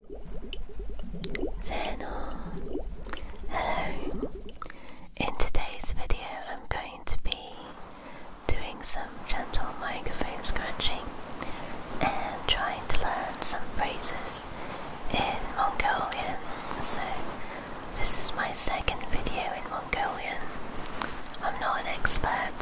Hello. Hello. In today's video, I'm going to be doing some gentle microphone scratching and trying to learn some phrases in Mongolian. So, this is my second video in Mongolian. I'm not an expert,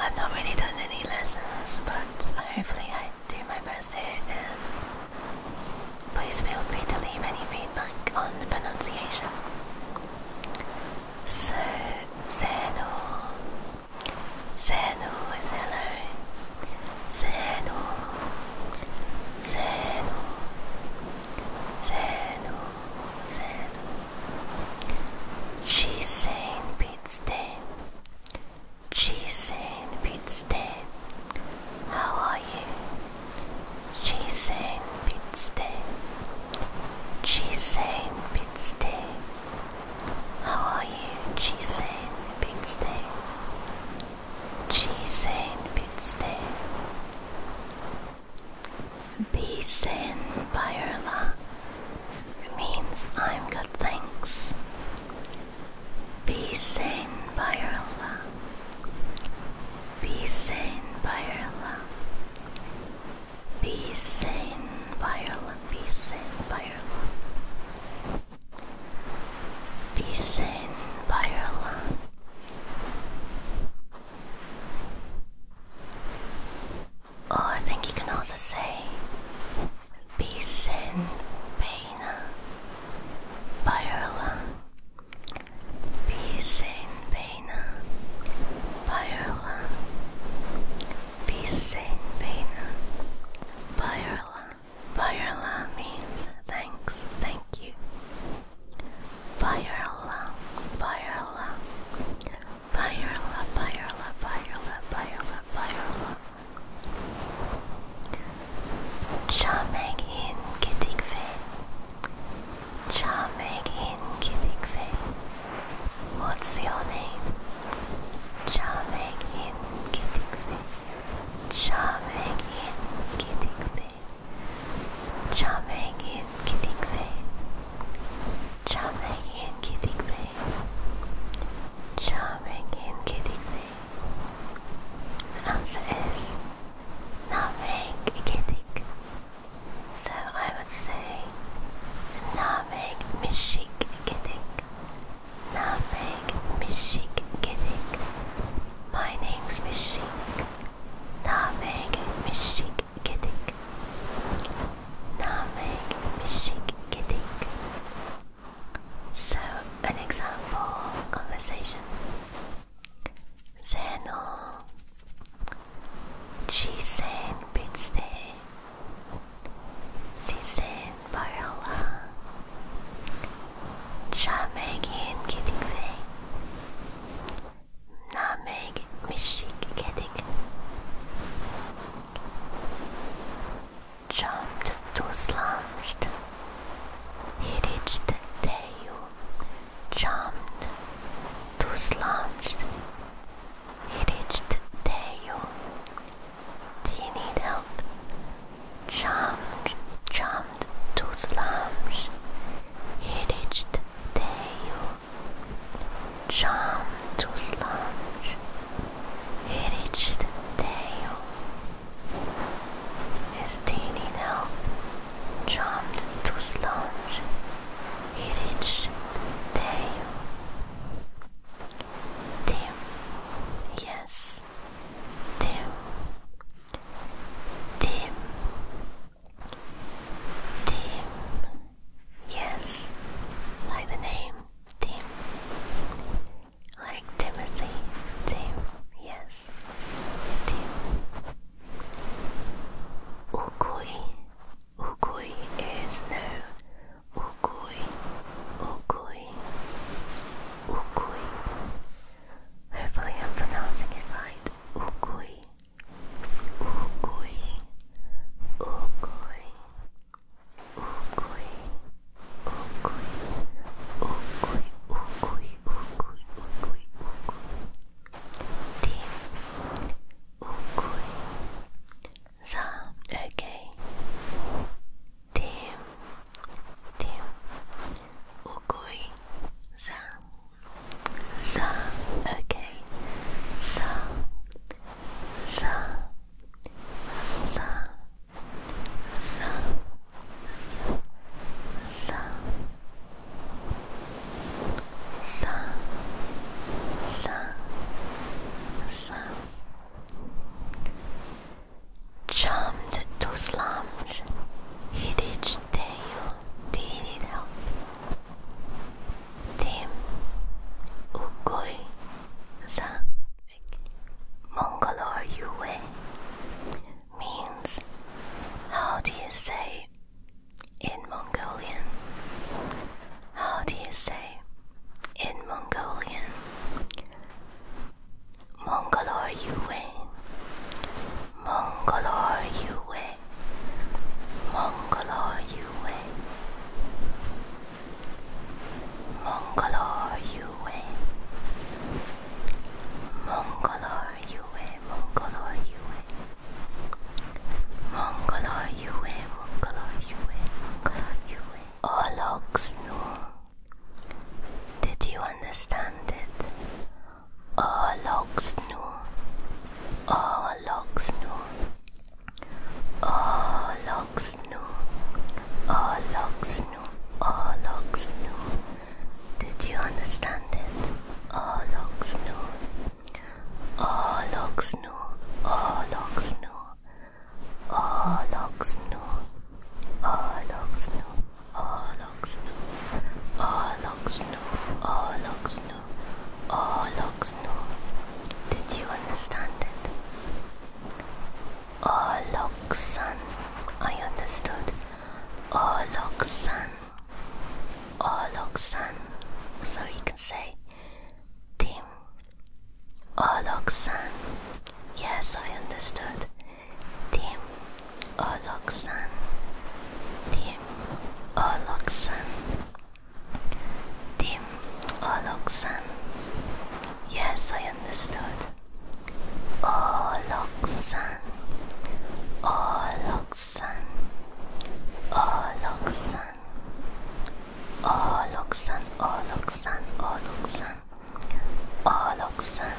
I've not really done any lessons, but hopefully I do my best here and please feel free to leave any feedback on the pronunciation. So, Zeno, Zeno is hello, Zeno, Zeno, Zeno, Zeno. She's saying Pete's day. Jason Pitstead, how are you? Jason Pitstead, Jason Pitstead, how are you? Jason Pitstead, Jason Pitstead, Basin Byerla means I'm good, thanks. Be sane by your love. Be sane by your love. Be sane by your love. Be sane by your love. Be sane by your love. Oh, I think you can also say Bisen Pena Pyrola. Bisen Pena Pyrola. Bisen Pena Pyrola. Pyrola means thanks, thank you. Pyrola, Pyrola. Fire love, fire love, fire love, fire love, fire love. Charming in kittig Charming in kittig What's your name? Charming in kittig Charming in kittig Charming in kittig Charming in Kitty Grey. Charming in Kitty Grey. The answer is nothing Kitty. So I would say nothing Mishik Kitty. Nothing Mishik Kitty. My name's Mishik. Nothing Mishik. Gedik Namik Mishik Gedik So an example conversation Zeno Chisen Bitste Sisen Barala Chamegin Gedik Ve nutmeg mishigedig, jumped to slouched, he reached tail, jumped to slouched, he reached tail, do you need help? Jumped, jumped to slums. He reached tail. Charmed to sludge, he reached tail. His teeny help to sludge, he reached tail. Dim, yes, dim, dim, Tim. Yes, like the name Tim. Like Timothy. Tim. Yes. Tim. Ukui. Ukui is no. Ukui. Ukui. Ukui. Hopefully I'm pronouncing it right. Ukui. Ukui, ukui, ukui, ukui, ukui, ukui, ukui, ukui, ukui. Ti, ukui. Za, okay. Tim, tim, ukui, za. So, okay. So, so, so, so, so, so, so, so, so. Charmed to slumge, he reached Teo. Do you need help? Team Ukoi San Mongol or Yue means how do you say in Mongolian? How do you say in Mongolian? Mongolor Yue, Mongolor Yue, Mongolor Yue, Mongolor Yue, Mongolor Yue, Mongolor Yue, Mongolor Yue, Mongolor Yue, Mongolor Yue, Olog Snoo. Did you understand it? Oh, logs nu. Oh, logs nu. Oh, logs nu. Oh, logs nu. Oh, logs nu. Did you understand it? Oh, logs nu. Oh, logs nu. Oh, logs nu. Oh, logs nu. Oh, logs nu. Oh, look snow. Oh, look snow. Oh, look snow. Oh, look snow. Did you understand it? Oh, look sun. I understood. Oh, look sun. Oh, look sun. So you can say team. Oh, look sun. Yes, I understood. Team Oloksan, Team Oloksan, Team Oloksan. Yes, I understood. Oloksan, Oloksan, Oloksan, Oloksan, Oloksan, Oloksan. Oloksan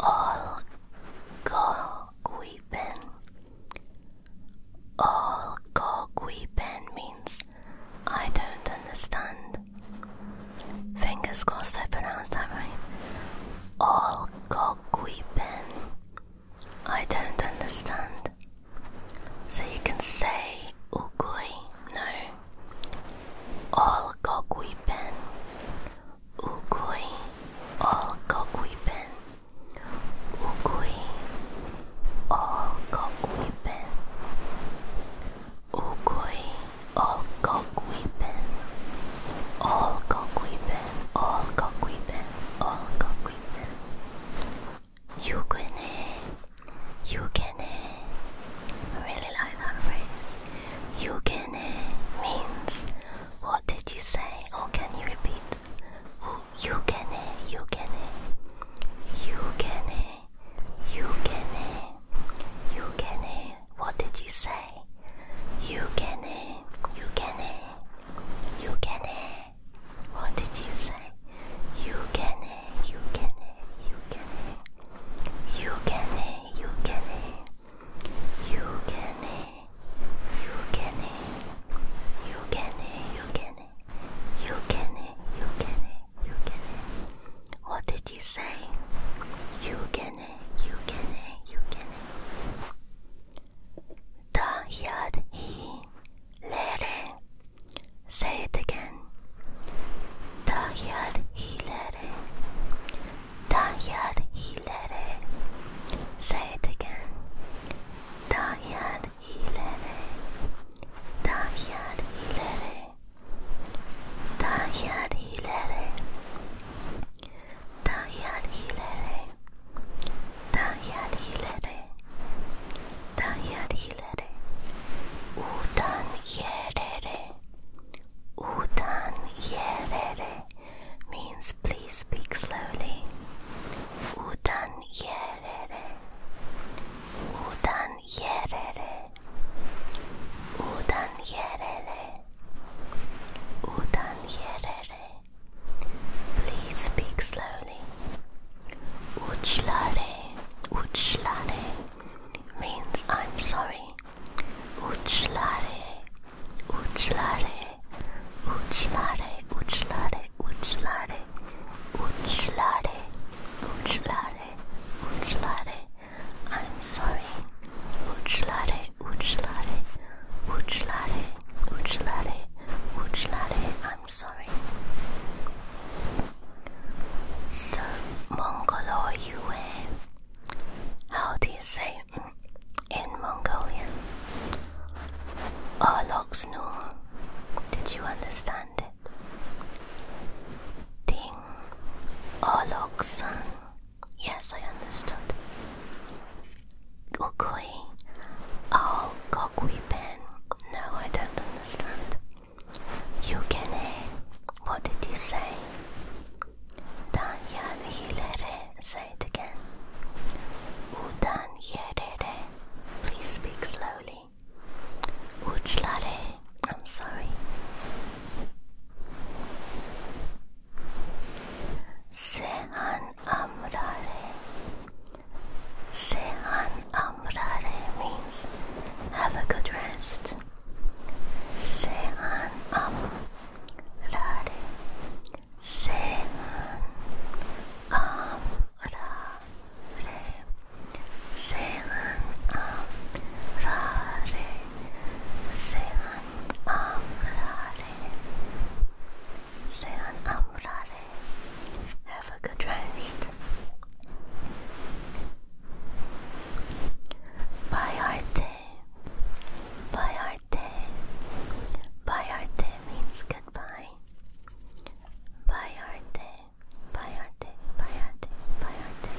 All Koguipen All Koguipen means I don't understand. Fingers crossed I pronounced that right. All Koguipen I don't understand. So you can say Ugui no. All Gogui Ben. Ukui. All Gogui Ben. Ukui. All Gogui Ben. Ukui. All Gogui Ben. All Gogui Ben. All Gogui Ben. All Gogui Ben. Yugene, Yugene. I really like that phrase. Yugene means what did you say or can you repeat? Yugene, Yugene, Yugene, Yugene, Yugene. What did you say? Yugene, Yugene, Yugene. What did you say? You can it, you can it, you can it. You can it, you can it. You can it, you can it. You can it, you can it. You can it, you can it, you can it. What did you say? You can it, you can it, you can it. Da yad he. Lere Say it again. Tahyad hilere. Tahyad hilere. Say it again. Tahyad hilere. Tahyad hilere. Tahyad hilere. Tahyad hilere. Tahyad hilere. Tahyad hilere. Udan Yerere Udan Yerere means please speak slowly. Udan Yerere Udan Yerere Udan Yerere Udan Yerere Please speak slowly. Germany. Uchlare, Uchlare means I'm sorry. Uchlare, Uchlare, Uchlare, Uchlare, Uchlare, Uchlare, Uchlare, Uchlare, I'm sorry. Uchlare, Uchlare, Uchlare, Uchlare, Uchlare, I'm I'm sorry. So, Mongolo Yue. How do you say mm, in Mongolian? Oloxnul. Did you understand it? Ding. Oloksan. Yes, I understood. Gokui. Oh, Gokui pen. No, I don't understand. Yukene. Eh, what did you say? Dan Yarere. Say it again. Udan Yarere. Please speak slowly. Uchlare. I'm sorry. Sehan Amrare. Sehan Amrare means have a good rest. Sehan Amrare. Sehan Amrare. Sehan Amrare. Sehan Amrare. Sean Amurare. Have a good rest. Bye Arte. Bye Arte. Bye Arte means goodbye. Bye Arte. Bye Arte. Bye Arte. Bye Arte.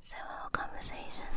So our conversation.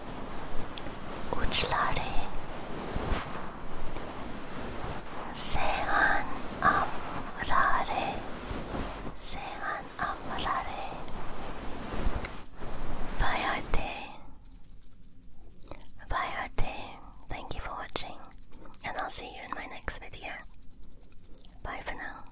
uçları Sehan Thank you for watching and I'll see you in my next video. Bye for now.